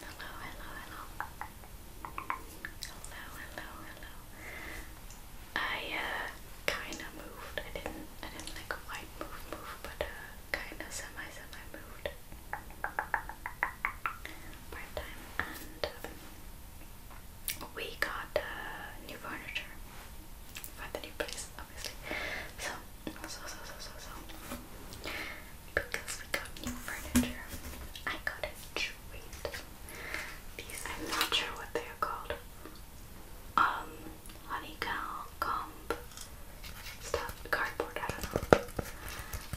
Hello, hello, hello. Hello, hello, hello. I kinda moved. I didn't I didn't like quite move move, but uh kinda semi semi moved. Part time and we got new furniture for the new place, obviously. so so so so so because we got new furniture. I got a treat. I'm not sure what they're called. Um, honeycomb stuff, cardboard, I don't know.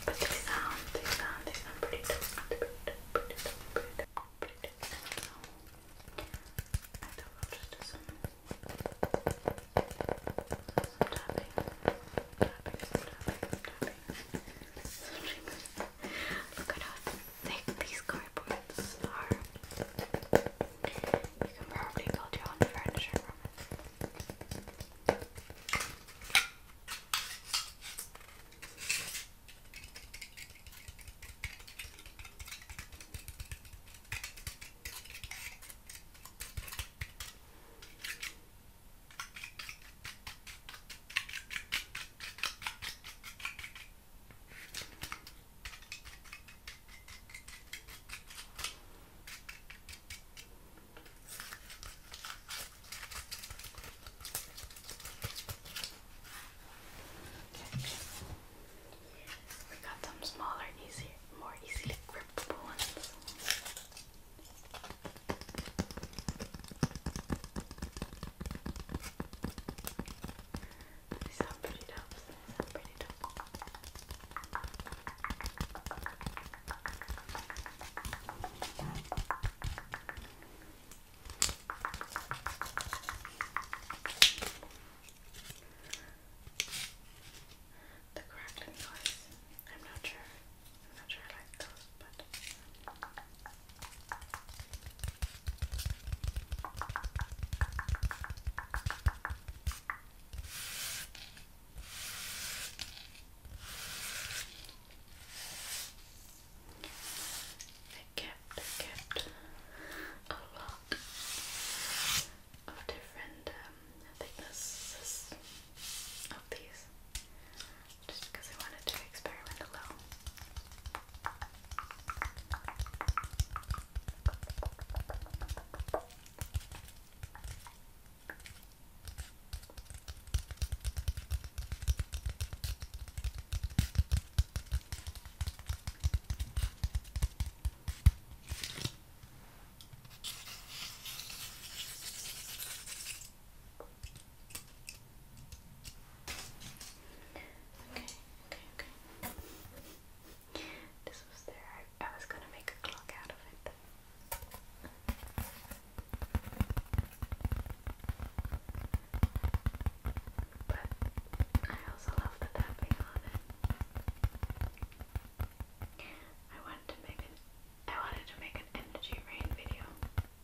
But they sound, they sound, they sound pretty dope. I don't know. just do some tapping, tapping, some tapping, some tapping. Look at how thick these cardboards are. You can probably build your own furniture from it. We got some smaller, easier, more easily grippable ones. They sound pretty dope. They sound pretty dope. The crackling noise. I'm not sure I'm they kept, kept a lot of different um, thicknesses of these just because I wanted to experiment a little. Okay, okay, okay. This was there. I, was gonna make a clock out of it. But I also love the tapping on it. I wanted to make it I wanted to make an energy rain video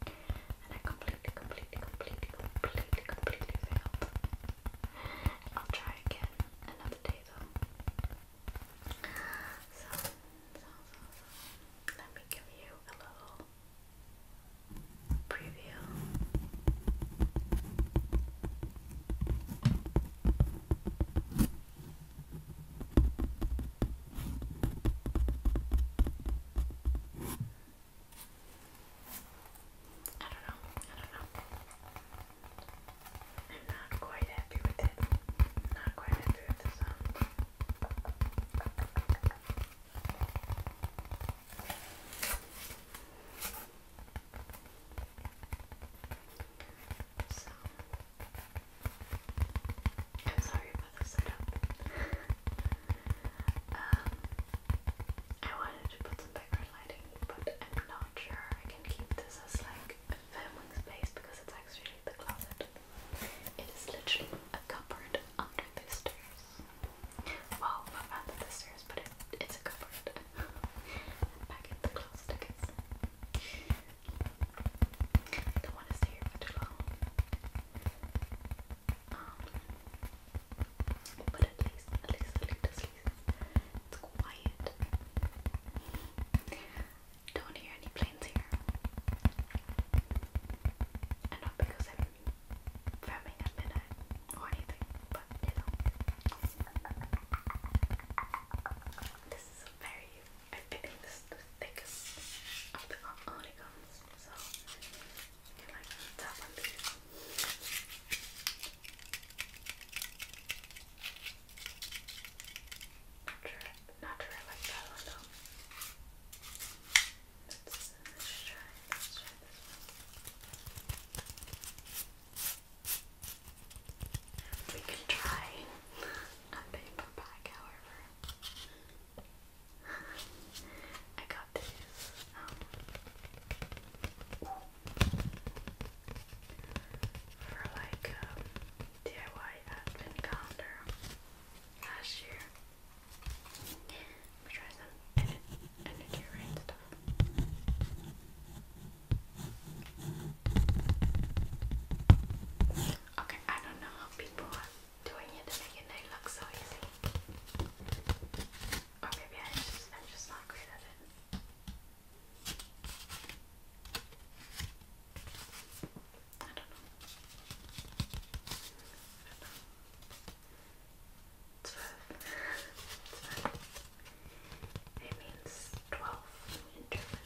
and I completely, completely, completely, completely, completely failed. I'll try again another day though. So, so, so, let me give you a little preview. I don't know. I don't know. I'm not quite happy with it. not quite happy with the sound. So I'm sorry about the setup. um, I wanted to put some background lighting, but I'm not sure I can keep this as like a filming space because it's actually the closet. It is literally a cupboard under the stairs. Well, under the stairs, but it's a cupboard. Back in the closet, I I don't want to stay here too long. Um, but at least, at least, at least, at least it's quiet. Don't hear any planes here. And not because I'm filming at midnight or anything, but you know. This is very, I, I think the thickest of the onigums, so I like that one too. Not sure, like that Let's, try, let's try this We can try a paper bag, however. I got these. Um, for like um, DIY advent calendar last year. I'm some energy rain stuff. Okay, I don't know how people doing it to make it look so easy. Or oh, maybe I just, I'm just not great at it. I don't know. twelve. It means twelve in German.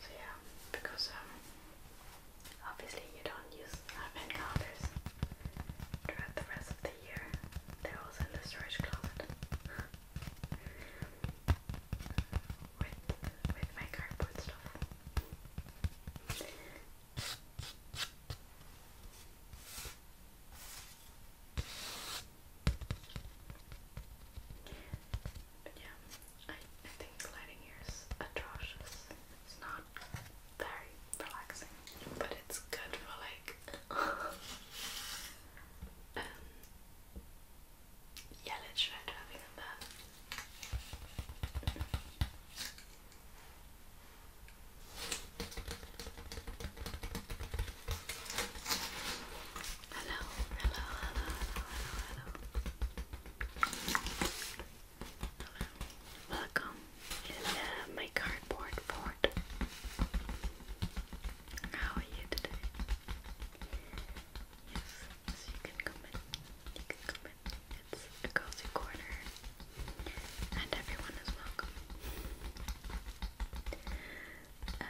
So yeah, because um, obviously you don't use advent calendars throughout the rest of the year. They're also in the storage closet with with my cardboard stuff. But yeah, I, I think lighting here is atrocious. It's not very relaxing, but it's good for like. yeah, let's try driving on that hello, hello, hello, hello, hello. Welcome in my cardboard board. How are you today? Yes, you can come in. You can come in. It's a cozy corner, and everyone is welcome. Um,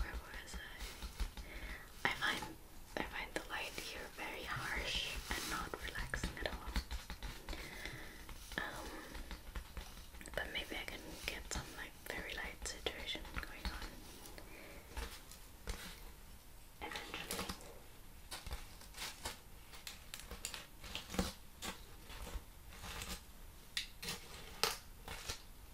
where was I? I find I find the light here very harsh and not relaxing at all. Um, but maybe I can get some like very light situation going on eventually. I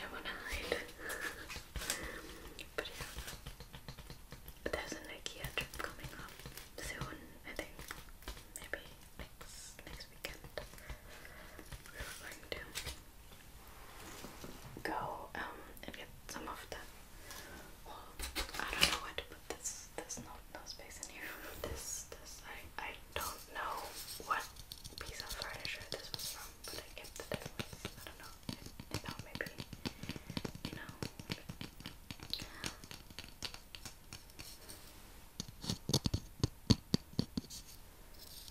don't want to hide. but There's an IKEA trip coming up soon, I think. Maybe next next weekend. We're going to go um, and get some of the. Well, I don't know where to put this. There's no no space in here. This this I I don't know what piece of furniture this was from, but I kept it. Anyways. I don't know. It, maybe you know.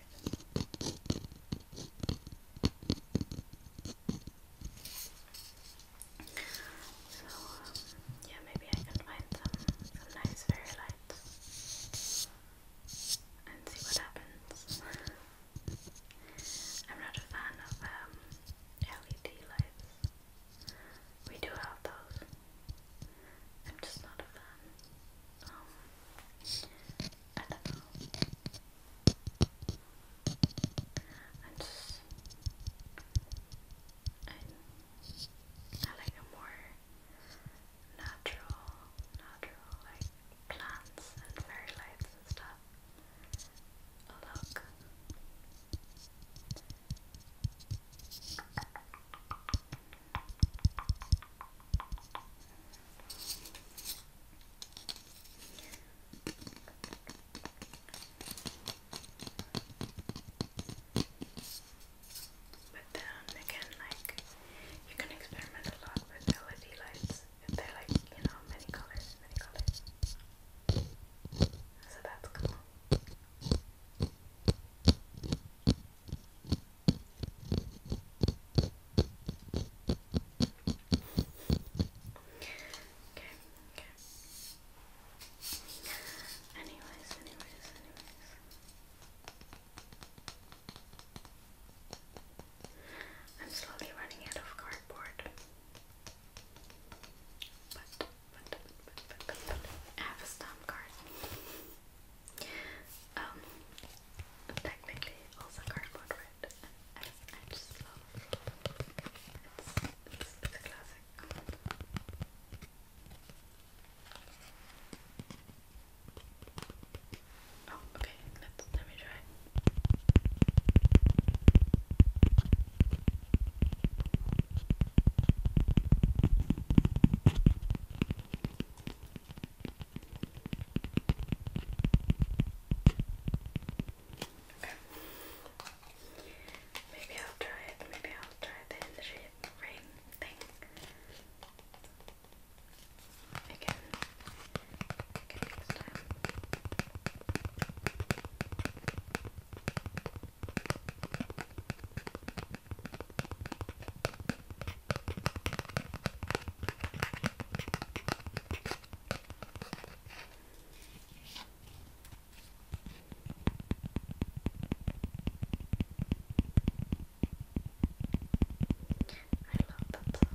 So, um, yeah, maybe I can find some, some nice fairy lights and see what happens. I'm not a fan of um, LED lights. We do have those. I'm just not a fan. Um, I do like a more natural, natural like plants and fairy lights and stuff. look. But then again, like you can experiment a lot with LED lights if they like you know many colors, many colors. So that's cool. Okay, okay. Anyways, anyways, anyways. I'm slowly running out of cardboard. But, but, but, but, but, I have a stamp card. Um, technically also cardboard, it as edge slope. It's, it's, it's classic. Oh, okay. Let's, let me try. Okay. Maybe I'll try it. Maybe I'll try the in thing. Again. I love that sound.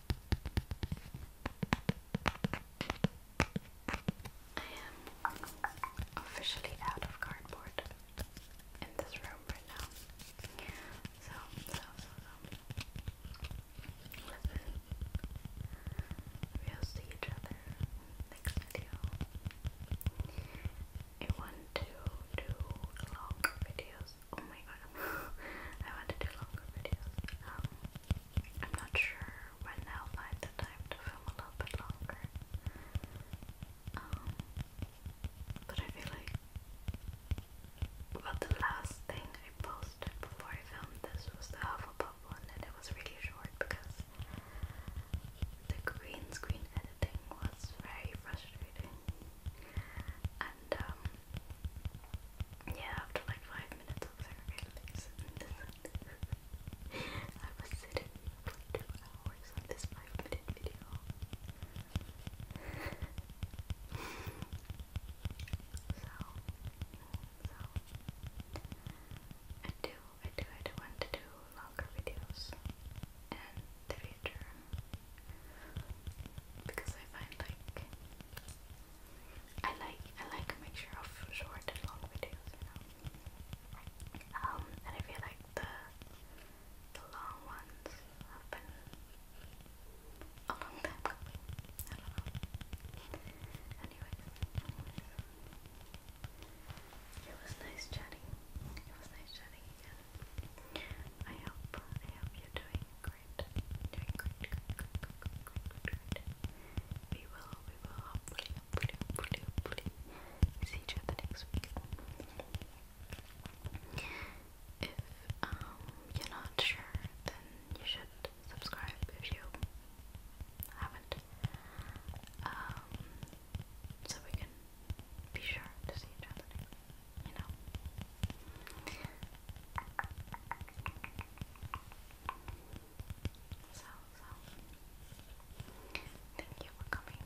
I am officially out of cardboard in this room right now. So, so, so, so. We'll see each other next video. I want to do Oh my god, I want to do longer videos. Um, I'm not sure when I'll find the time to film a little bit longer. Um, but I feel like well, the last thing I posted before I filmed this was the Hufflepuff one, and it was really short because the green screen editing was very frustrating. And um yeah, after like five minutes I was like, okay, thanks. I was sitting for two hours on this five minute video. so so I do I do I do want to do longer videos in the future because I find like I like I like a mixture of short and long videos, you know. Um, and I feel like the the long ones have been a long time coming. it was nice chatting. It was nice chatting again. I hope I hope you're doing great. We will, we will see each other next week. If um, you're not sure, then you should subscribe if you haven't. Um, so we can be sure to see each other next you know. So, so thank you for coming,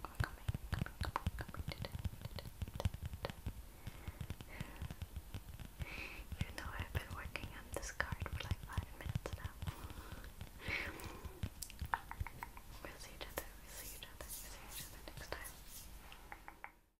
for coming, coming, coming, coming today. Even though I've been working on this card for like five minutes now. we'll see each other, we'll see each other, we'll see each other next time.